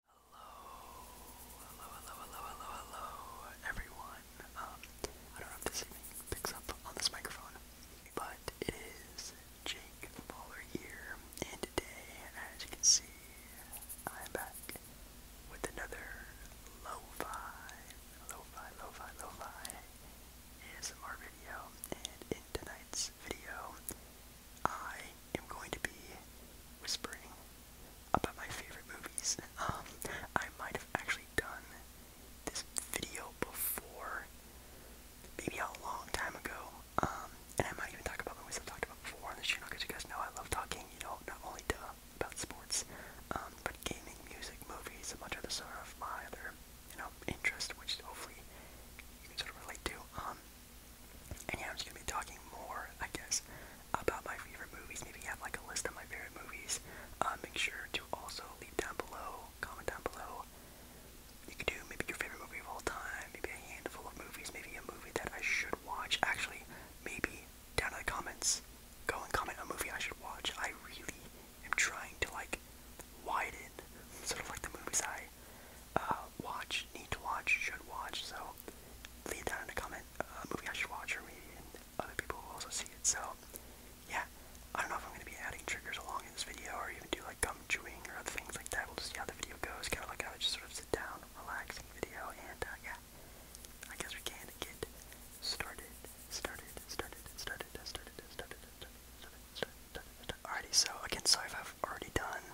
Hello, hello, hello, hello, hello, hello, everyone. Um, I don't know if this even picks up on this microphone, but it is Jake Baller here, and today, as you can see, I'm back with another lo-fi, lo-fi, lo-fi, lo-fi ASMR video, and in tonight's video, I am going to be whispering about my favorite movies. Um, I might have actually done this video before, maybe a long time ago. Um, and I might even talk about movies I've talked about before on this channel because you guys know I love talking, you know, not only about sports, um, but gaming, music, movies, and much other sort of my other, you know, interest, which hopefully you can sort of relate to. And yeah, I'm just gonna be talking more, I guess, about my favorite movies. Maybe you have like a list of my favorite movies. Uh, make sure to also leave down below, comment down below. You could do maybe your favorite movie of all time, maybe a handful of movies, maybe a movie that I should watch. Actually, maybe down in the comments, go and comment a movie I should watch. I really am trying to like widen sort of like the movies I uh, watch, need to watch, should watch. So leave down in a comment a movie I should watch, or maybe and other people will also see it. So, yeah, I don't know if I'm going to be adding triggers along in this video, or even do like gum chewing or other things like that. We'll just see how the video goes, kind of like how I just sort of sit down, relaxing video, and uh, yeah, I guess we can get started, started, started, started, started, started, started, started, started, started. Alrighty, so again, sorry if I've already done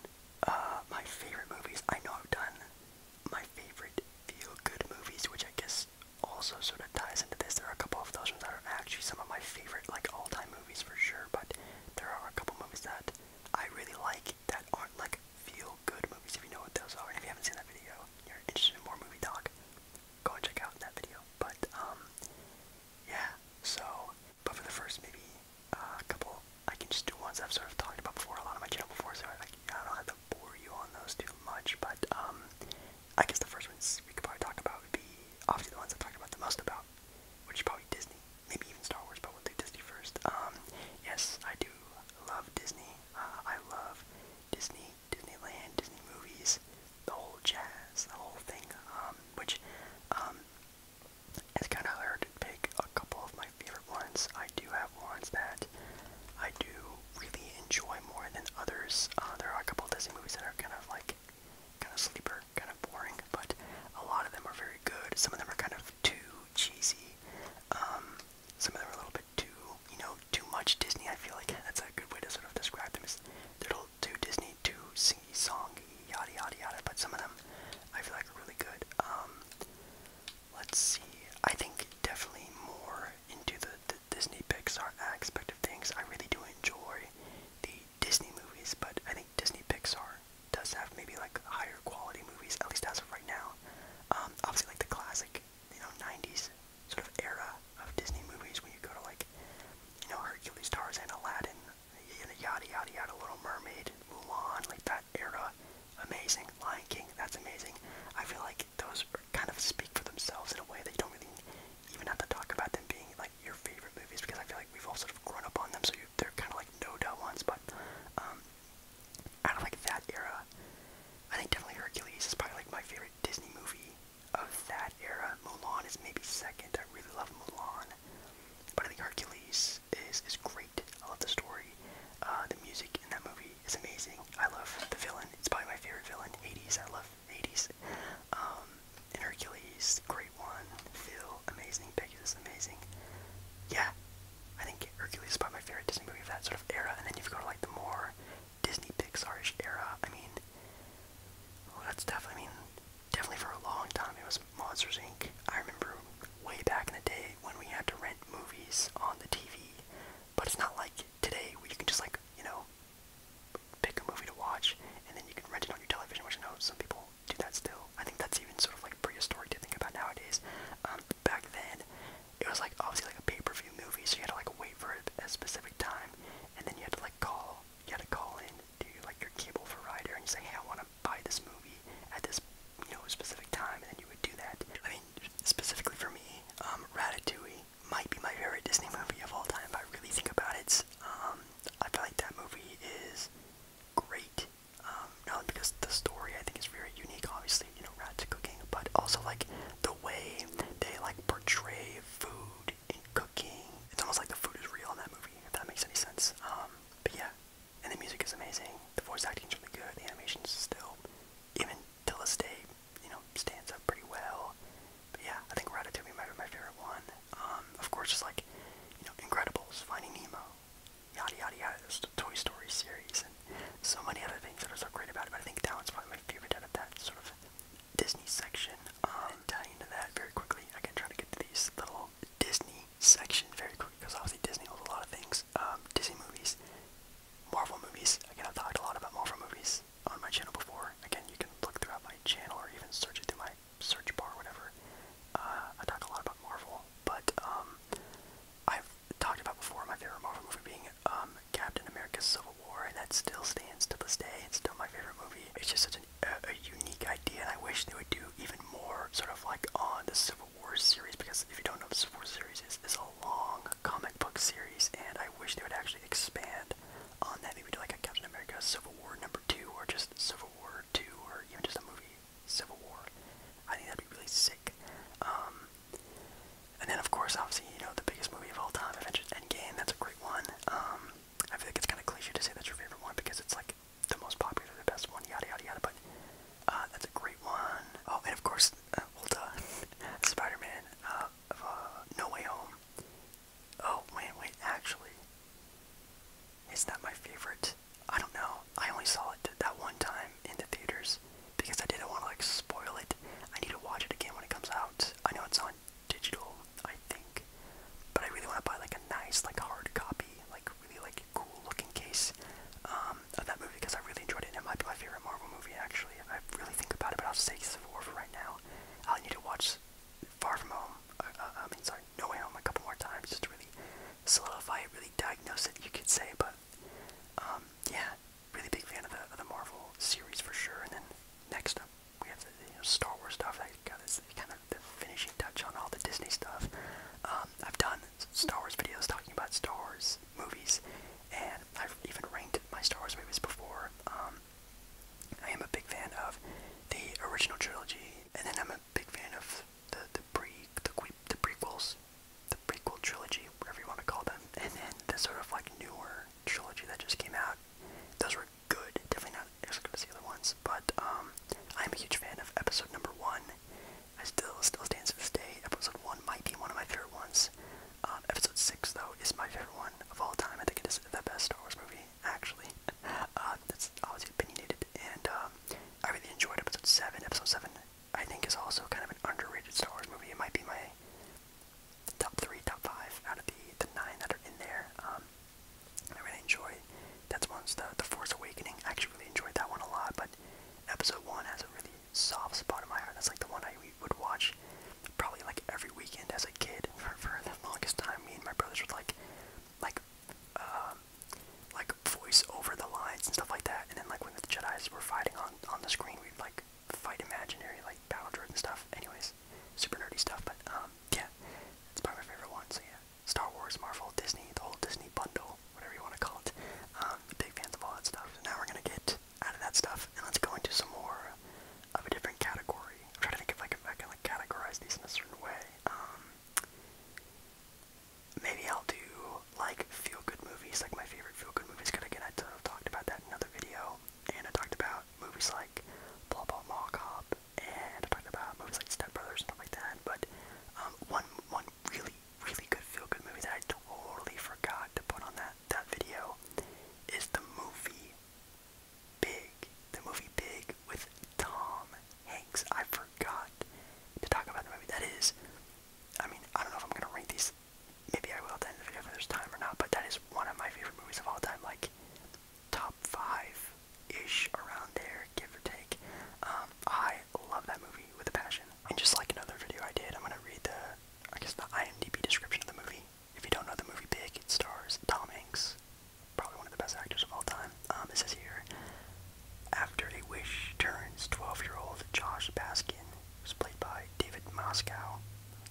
uh, my favorite movies. I know I've done my favorite feel-good movies, which I guess also sort of ties into this. There are a couple of those ones that are actually some of my favorite, like all-time movies for sure. But there are a couple movies that I really like that aren't like feel-good movies. If you know what those are, and if you haven't seen that video, you're interested in more movie talk, go and check out that video. But um, yeah. So, but for the first maybe uh, a couple. I can just do ones I've sort of talked about before, a lot on my channel before, so I, don't have to bore you on those too much. But um, I guess the first ones we could probably talk about would be obviously the ones I've talked about the most about, which is probably Disney, maybe even Star Wars, but we'll do Disney first. Um, yes, I do love Disney. Uh, I love Disney, Disneyland, Disney movies, the whole jazz, the whole thing. Um, which it's kind of hard to pick a couple of my favorite ones. I do have ones that I do really enjoy more than others. Uh, there are a couple of Disney movies that are kind of like kind of sleeper, kind of boring, but a lot of them are very good. Some of them are kind of too cheesy. Um, some of them are a little bit too, you know, too much Disney. I feel like that's a good way to sort of describe them. Is a little too Disney, too singy songy, yada yada yada. But some of them I feel like are really good. Um, Let's see. I think definitely more into the, Disney Pixar aspect of things. I really do enjoy the Disney movies, but I think Disney Pixar does have maybe like higher quality movies, at least as of right now. Um, obviously, like the classic, you know, 90s sort of era of Disney movies when you go to like, you know, Hercules, Tarzan, Aladdin, yada yada yada, yada Little Mermaid, Mulan, like that era, amazing. Lion King, that's amazing. I feel like those kind of speak for themselves in a way that you don't really even have to talk about them being like your favorite movies because I feel like we've all sort of grown up on them, so they're kind of like no doubt ones. But um, out of like that era, I think definitely Hercules is probably like my favorite Disney movie of that era. Mulan is maybe second. I really love Mulan, but I think Hercules is is I love the story. Uh, the music in that movie is amazing. I love the villain. It's probably my favorite villain. 80s. I love 80s. Um, and Hercules, great one. Phil, amazing. Pegasus, amazing. Yeah, I think Hercules is probably my favorite Disney movie of that sort of era. And then you've got like the more Disney Pixar-ish era. I mean, that's definitely, I mean, definitely for a long time it was Monsters Inc. I remember way back in the day when we had to rent movies on the TV. But it's not like today where you can just like, you know, pick a movie to watch and then you can rent it on your television, which I know some people do that still. I think that's even sort of like prehistoric to think about nowadays. Um, back then, it was like obviously like a pay-per-view movie, so you had to like wait for a specific time, and then you had to like call, you had to call in to like your cable provider and you say, hey, I want to buy this movie at this you know specific time, and you would do that. I mean, specifically for me, um, Ratatouille might be my favorite Disney movie of all time. If I really think about it, um, I feel like that movie is great. Um, not because the story I think is very unique, obviously, you know, rats cooking, but also like the way they like portray food and cooking. It's almost like the food is real in that movie, if that makes any sense. but yeah, and the music is amazing. The voice acting is really good. The animations still, even till this day, you know, stands up pretty well. But yeah, I think Ratatouille might be my favorite one. Um, of course, just like, you know, Incredibles, Finding Nemo, yada yada yada, the Toy Story series, and so many other things that are so great about it. But I think that one's probably my favorite out of that sort of Disney section. Um, and tie into that very quickly. I can try to get to these little Disney section very quickly because obviously Disney holds a lot of things. Um, Disney movies, Marvel movies. Again, I've talked a lot about Marvel movies on my channel before. Again, you can look throughout my channel or even search it through my search bar whatever. Uh, I talk a lot about Marvel, but um, I've talked about before my favorite Marvel movie being um, Captain America Civil War, and that still stands to this day. It's still my favorite movie. It's just such a, a unique idea, and I wish they would do even more sort of like on the Civil War series because if you don't know, this War series is, is a long comic book series, and I wish they would actually expand on that. Maybe do like a Captain America Civil War number two, or just Civil War two, or even just a movie Civil War. I think that'd be really sick. Um, and then of course, obviously, you know, the biggest movie of all time, Avengers Game. That's a great one. Um, I feel like it's kind of cliche to say that's your favorite one because it's like the most popular, the best one, yada yada yada. But uh, that's a great one. Oh, and of course, well uh, done, Spider-Man. Uh, uh, No Way Home. Oh, wait, wait, actually, is that my favorite? I don't know. I only saw it that one time in the theaters because I didn't want to like spoil it. I need to watch it again when it comes out. I know it's on digital, I think, but I really want to buy like a nice, like hard copy, like really like cool looking case. Um, um, of that movie because I really enjoyed it. And it might be my favorite Marvel movie, actually, I really think about it. But I'll just say Civil War for right now. I'll need to watch Far From Home. Uh, uh, I mean, sorry, No Way Home a couple more times just really solidify it, really diagnose it, you could say. But um, yeah, really big fan of the, of the Marvel series for sure. And then next up, we have the you know, Star Wars stuff. That got this kind of the finishing touch on all the Disney stuff. Um, I've done Star Wars videos talking about Star Wars movies, and I've even ranked my Star Wars movies before. Um, I am a big fan of the original trilogy, and then I'm a big fan of the the pre the, the prequels, the prequel trilogy, whatever you want to call them, and then the sort of like newer trilogy that just came out. Those were good, definitely not as good as the other ones, but um, I'm a huge fan of episode number one I still still stands to this day. Episode one might be one of my favorite ones. Um, episode six though is my favorite one of all time. I think it is the best Star Wars movie actually. Uh, that's obviously opinionated, and um, I really enjoyed episode seven. Episode seven I think is also kind of an underrated Star Wars movie. It might be my top three, top five out of the the nine that are in there. Um, I really enjoy. That's one's the the Force Awakening. I actually really enjoyed that one a lot, but episode one has a really soft spot in my heart. That's like the one I would watch probably like every weekend as a kid for, for the longest time. Me and my brothers would like, like, um, like voice over the lines and stuff like that. And then like when the Jedi's were fighting on on the screen, we'd like fight imaginary like battle droids and stuff. Anyways, super nerdy stuff. But um, yeah, it's probably my favorite one. So yeah, Star Wars, Marvel, Disney, the whole Disney bundle whatever you want to call it. Um, big fans of all that stuff. So now we're gonna get out of that stuff and let's go into some more of a different category. I'm trying to think if I can, if I can like categorize these in a certain way. Um, maybe I'll do like feel good movies, like my favorite feel good movies. Cause again, I sort of talked about that in another video, and I talked about movies like Blah Blah Mall Cop, and I talked about movies like Step Brothers and stuff like that. But um, one one really really good feel-good movie that I totally forgot to put on that that video is the movie Big. The movie Big with Tom Hanks. I forgot to talk about the movie. That is, I mean, I don't know if I'm gonna rank these. Maybe I will at the end of the video for this time or not. But that is one of my favorite movies of all time. Like top five ish around there, give or take. Um, I love that movie with a passion. And just like another video I did, I'm gonna read the, I guess the IMDb description of the movie. If you don't know the movie Big, it stars Tom Hanks, probably one of the best actors of all time. Um, it says here, after a wish turns 12-year-old Josh Baskin, who's played by David Moscow,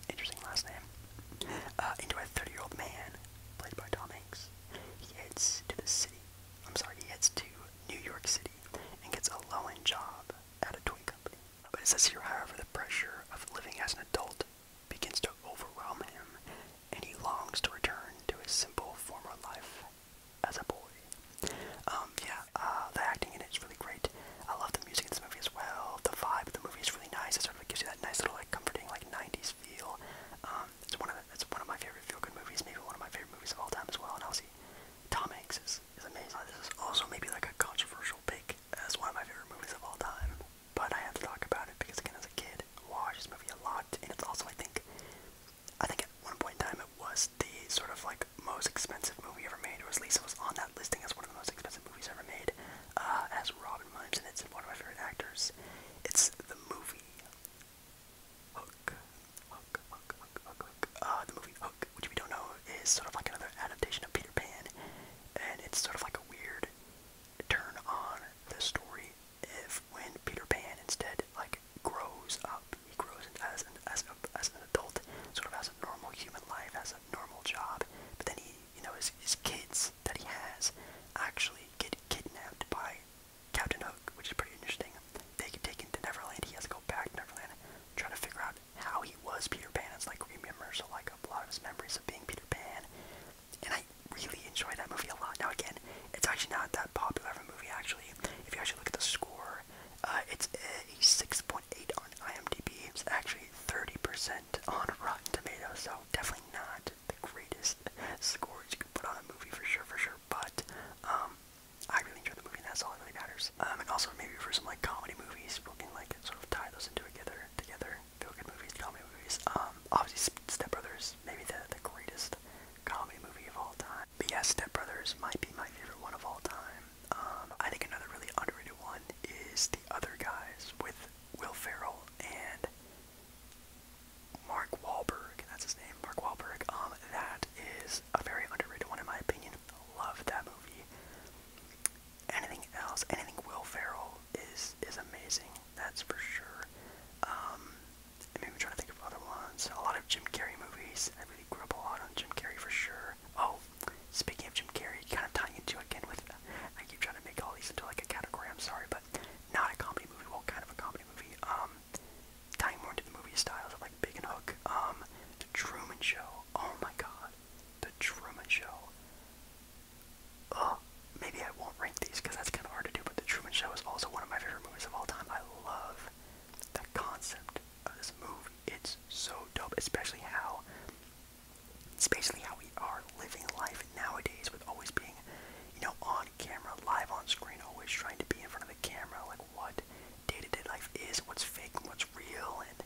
interesting last name, uh, into a 30-year-old man, played by Tom Hanks. He heads to the city. I'm sorry, he heads to New York City and gets a low end job at a toy company. But it says here, however, the pressure of living as an adult begins to overwhelm him and he longs to return to his simple former life as a boy. Um, yeah, uh, the acting in it is really great. I love the music in this movie as well. The vibe of the movie is really nice. It sort of gives you that nice little like comforting like 90s feel. Um, it's one of it's one of my favorite feel good movies, maybe one of my favorite movies of all time as well. And obviously, Tom Hanks is, is amazing. Uh, this is also maybe like a controversial pick as one of my favorite movies of all time, but I have to talk about it because again, as a kid, I watched this movie a lot, and it's also I think, I think at one point in time it was the sort of like most expensive movie ever made, or at least it was on that listing as one of the most expensive movies ever made. Uh, as Robin Williams, and it's one of my favorite actors. It's the movie Hook, Hook, Hook, Hook, Hook, Hook. Uh, the movie Hook, which we don't know, is sort of like another adaptation of Peter Pan, and it's sort of like a weird turn on the story. If when Peter Pan instead like grows up, he grows as an as a, as an adult, sort of as a normal human life, as a normal job, but then he, you know, his his kids that he has actually get kidnapped by Captain Hook, which is pretty interesting. They get taken to Neverland. He has to go back to Neverland, try to figure out how he was Peter Pan. It's like remembers so like a lot of his memories of being Peter Pan. And I really enjoy that movie a lot. Now again, it's actually not that popular of a movie. Actually, if you actually look at the score, uh, it's uh, a 6.8 on IMDb. It's actually 30% on Rotten Tomatoes. So definitely not the greatest scores you can put on a movie for sure, for sure. But um, I really enjoy the movie, that's all that really matters. Um, and also maybe for some like comedy movies, we can like sort of tie those into together, together, feel good movies, comedy movies. Um, obviously Step Brothers, maybe the the greatest comedy movie of all time. But yeah, Step Brothers might be my favorite one of all time. Um, I think another really underrated one is The Other Guys with Will Ferrell and Mark Wahlberg. That's his name, Mark Wahlberg. Um, that is a very underrated one in my opinion. Love that movie. Anything else? Anything Will Ferrell is is amazing. That's for sure. Um, I mean, I'm trying to think of other ones. A lot of Jim Carrey movies. I really grew up a lot on Jim Carrey for sure. Oh, speaking of Jim Carrey, kind of tying into again with. I keep trying to make all these into like a category. I'm sorry, but not a comedy movie. Well, kind of a comedy movie. Um, tying more into the movie styles of like Big and Hook, um, The Truman Show. Oh my God, The Truman Show. Oh, maybe I won't rank these because that's kind of hard to do. But The Truman Show is also one of my favorite movies of all time. I love the concept of this movie. It's so dope, especially how, it's basically how we are living life nowadays with always being, you know, on camera, live on screen, always trying to be in front of the camera. Like what day-to-day -day life is, what's fake and what's real, and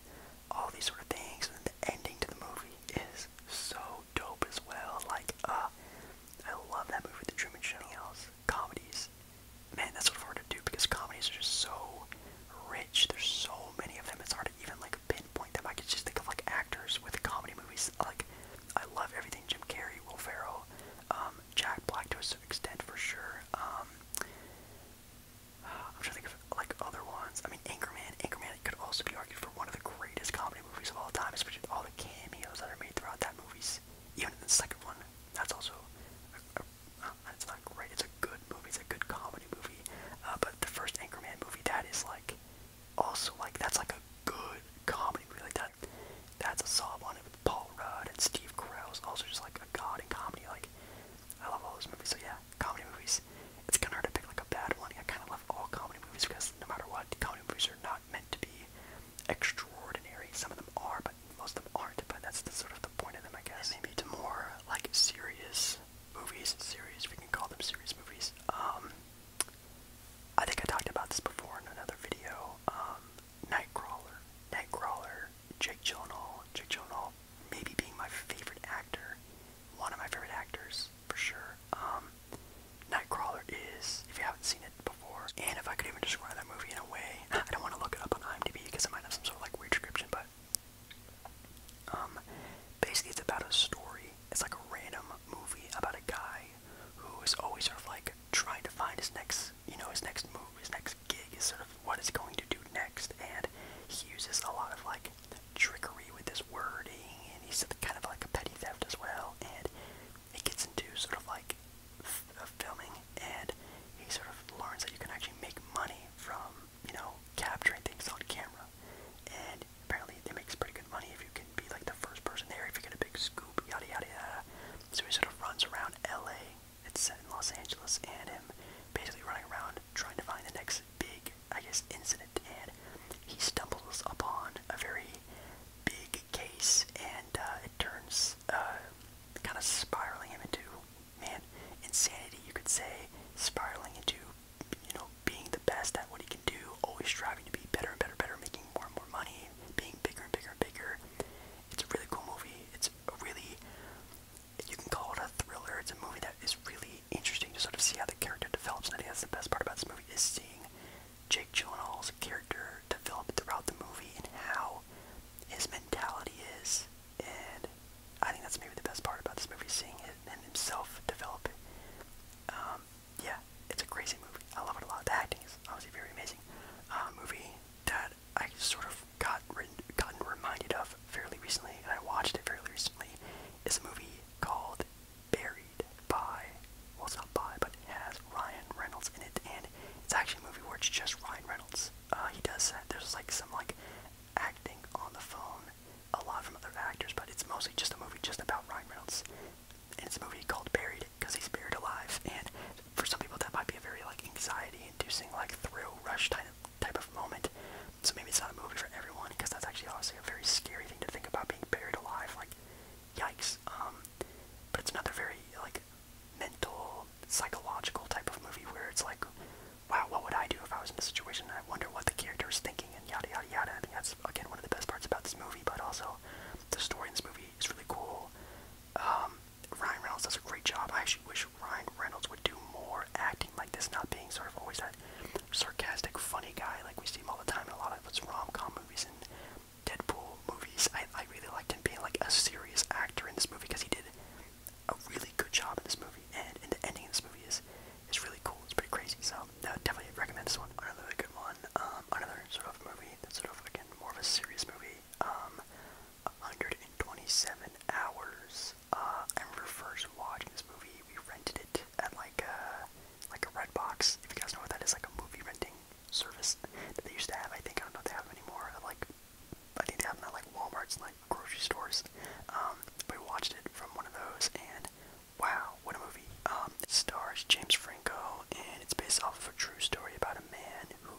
all these sort of things. And the ending to the movie is so dope as well. Like, uh, I love that movie, The Truman Show. Comedies, man, that's sort of hard to do because comedies are just so rich. There's so many of them. It's hard to even like pinpoint them. I could just think of like actors with comedy movies. Like, I love everything Jim Carrey, Will Ferrell. Um, Jack Black to a certain extent for sure. Um, I'm trying to think of like other ones. I mean, Anchorman. Anchorman could also be argued for one of the greatest comedy movies of all time, especially all the cameos that are made throughout that movie. Even in the second one, that's also. A, uh, not great. It's a good movie. It's a good comedy movie. Uh, but the first Anchorman movie, that is like, also like that's like a good comedy movie. Like that, that's a solid one one with Paul Rudd and Steve Carell is also just like a god in comedy. Like, I love all those movies. So yeah, comedy movies. It's kind of hard to pick like a bad one. I kind of love all comedy movies because no matter what, comedy movies are not meant to be extraordinary. Some of them are, but most of them aren't. But that's the sort of the point of them, I guess. And maybe to more like serious movies, series, if we can call them serious movies. Um, I think I talked about this before in another video. Um, Nightcrawler. Nightcrawler Jake Gyllenhaal. Jake Gyllenhaal maybe being my favorite actor, one of my favorite actors for sure. Um, Nightcrawler is, if you haven't seen it before, and if I could even describe that movie in a way, I don't want to look it up on IMDb because it might have some sort of like weird description, but um, basically it's about a story. It's like a random movie about a guy who is always sort of like trying to find his next, you know, his next move, his next gig, is sort of what he's going to do next. And he uses a lot of like trickery with his wording, and he's kind of like a petty theft as well. And it gets into sort of like f uh, filming, and he sort of learns that you can actually make money from, you know, capturing things on camera. And apparently, it makes pretty good money if you can be like the first person there, if you get a big scoop, yada yada yada. So he sort of runs around LA it's set in Los Angeles, and him basically running around trying to find the next big, I guess, incident. And he stumbles upon a very big case, and uh, it turns uh, kind of spiraling him into man insanity. You could say spiraling into you know being the best at what he can do, always striving to be better and better, and better, making more and more money, being bigger and bigger and bigger. It's a really cool movie. It's it's really you can call it a thriller. It's a movie that is really interesting to sort of see how the character develops, and I think that's the best part about this movie is seeing Jake Gyllenhaal's character develop throughout the movie and how his mentality is. And I think that's maybe the best part about this movie, seeing it and himself develop. Um, yeah, it's a crazy movie. I love it a lot. The acting is obviously very amazing. Uh, movie that I sort of I've got re gotten reminded of fairly recently, and I watched it fairly recently, is a movie called Buried by, well, it's not by, but it has Ryan Reynolds in it, and it's actually a movie where it's just Ryan Reynolds. Uh, he does that. Uh, there's like some like acting on the phone, a lot from other actors, but it's mostly just a movie just about Ryan Reynolds. And it's a movie called Buried because he's buried alive, and for some people that might be a very like anxiety-inducing, like thrill rush type type of moment. So maybe it's not a movie for everyone because that's actually honestly a very scary thing to think about being buried alive. Like, yikes. Um, but it's another very like mental, psychological type of movie where it's like, wow, what would I do if I was in this situation? I wonder what the character is thinking and yada yada yada. I think that's again one of the best parts about this movie, but also the story in this movie is really cool. Um, Ryan Reynolds does a great job. I actually wish Ryan Reynolds would do more acting like this, not being sort of always that sarcastic, funny guy like we see him all the time in a lot of his rom-com movies and Deadpool movies. I, I really liked him being like a serious actor in this movie because he did a really good job in this movie, and, and the ending of this movie is is really cool. It's pretty crazy. So I would definitely recommend this one. Another really good one. Um, another sort of movie that's sort of again more of a serious movie. Um, 127 hours. Uh, I first watching this movie, we rented it at like a, uh, like a Redbox. If you guys know what that is, like a movie renting service that they used to have. I think I don't know if they have them anymore. I like I think they have them at like Walmart's like grocery stores. Um, we watched it from one of those, and wow, what a movie! Um, it stars James Franco, and it's based off of a true story about a man who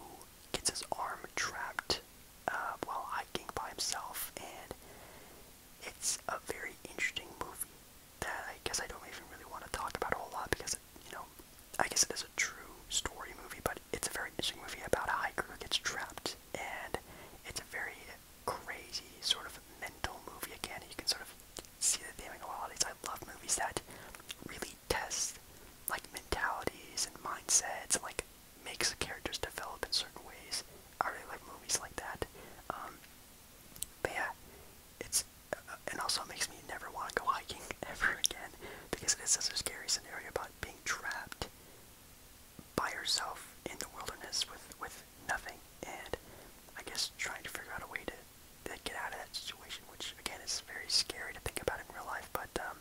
gets his arm trapped uh, while hiking by himself, and it's a very interesting movie that I guess I don't even really want to talk about a whole lot because, it, you know, I guess it is a true story movie, but it's a very interesting movie about a hiker who gets trapped, and it's a very crazy sort of mental movie again. You can sort of see the theme and go, oh, I love movies that really tests like mentalities and mindsets and like makes the characters develop in certain ways. I really like movies like that. Um, but yeah, it's uh, and also makes me never want to go hiking ever again because it is such a scary scenario about being trapped by yourself in the wilderness with with nothing and I guess trying to figure out a way to, get out of that situation, which again is very scary to think about in real life. But um,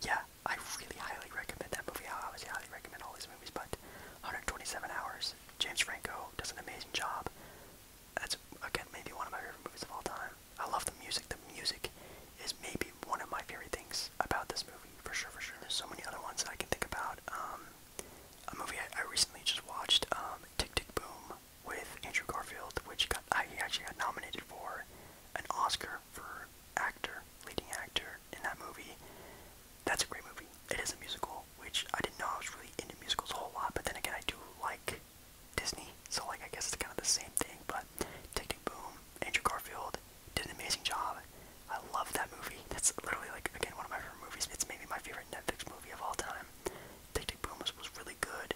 yeah, I really highly recommend that movie. I obviously highly recommend all these movies, but 127 Hours. James Franco does an amazing job. That's again maybe one of my favorite movies of all time. I love the music. The music is maybe one of my favorite things about this movie, for sure, for sure. There's so many other ones I can think about. Um, a movie I, recently just watched, um, Tick Tick Boom, with Andrew Garfield, which got I, he actually got nominated for an Oscar for actor, leading actor in that movie. That's a great movie. It is a musical, which I didn't know I was really into musicals a whole lot, but then again, I do like Disney, so like I guess it's kind of the same thing. But Tick Boom, Andrew Garfield did an amazing job. I love that movie. That's literally like again one of my favorite movies. It's maybe my favorite Netflix movie of all time. Tick Boom was really good.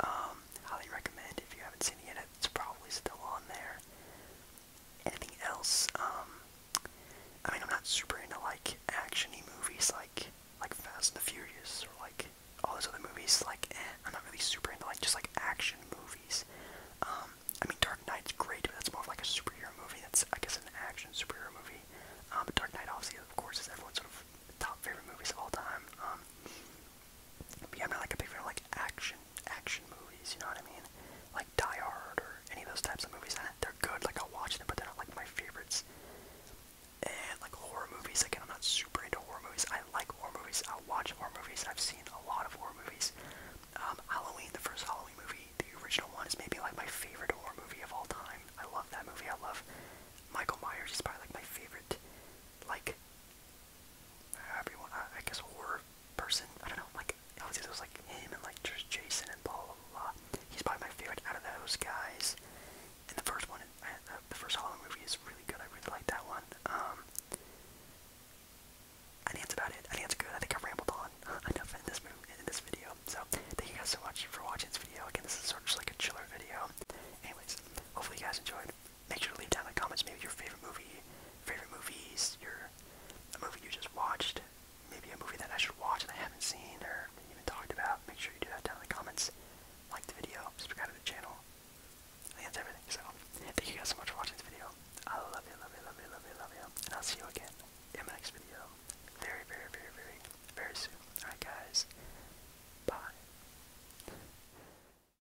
Um, highly recommend if you haven't seen it yet. It's probably still on there. Anything else? Um, I mean, I'm not super into like actiony movies, like like Fast and the Furious or like all those other movies. Like, eh, I'm not really super into like just like action movies. Um, I mean, Dark Knight's great, but that's more of like a superhero movie. That's I guess an action superhero movie. Um, Dark Knight, obviously, of course, is everyone's top favorite movies of all time. But yeah, I'm not like a big fan of like action action movies, you know what I mean? Like Die Hard or any of those types of movies. They're good, like I'll watch them, but they're not like my favorites. And like horror movies, again, I'm not super into horror movies. I like horror movies. I'll watch horror movies. I've seen a lot of horror movies. Um, Halloween, the first Halloween movie, the original one, is maybe like my favorite horror movie of all time. I love that movie. I love Michael Myers. He's probably like my favorite, like everyone, I, guess horror person, I don't know, like, obviously there was like him and like just Jason and blah, blah, blah. He's probably my favorite out of those guys. And the first one, uh, the first Halloween movie is really good, I really like that one. Um, I think that's about it. I think that's good. I think I rambled on enough in this movie, in this video. So thank you guys for watching for watching this video. Again, this is sort of like a chiller video. Anyways, hopefully you guys enjoyed. Make sure to leave down in the comments maybe your favorite movie, favorite movies, your a movie you just watched, maybe a movie that I should watch and I haven't seen or even talked about. Make sure you do that down in the comments. Like the video, subscribe to the channel. that's everything. So thank you guys so much for watching this video. I love you, love you, love you, love you, love you. And I'll see you again in my next video. Very, very, very, very, very soon. Alright guys. Bye.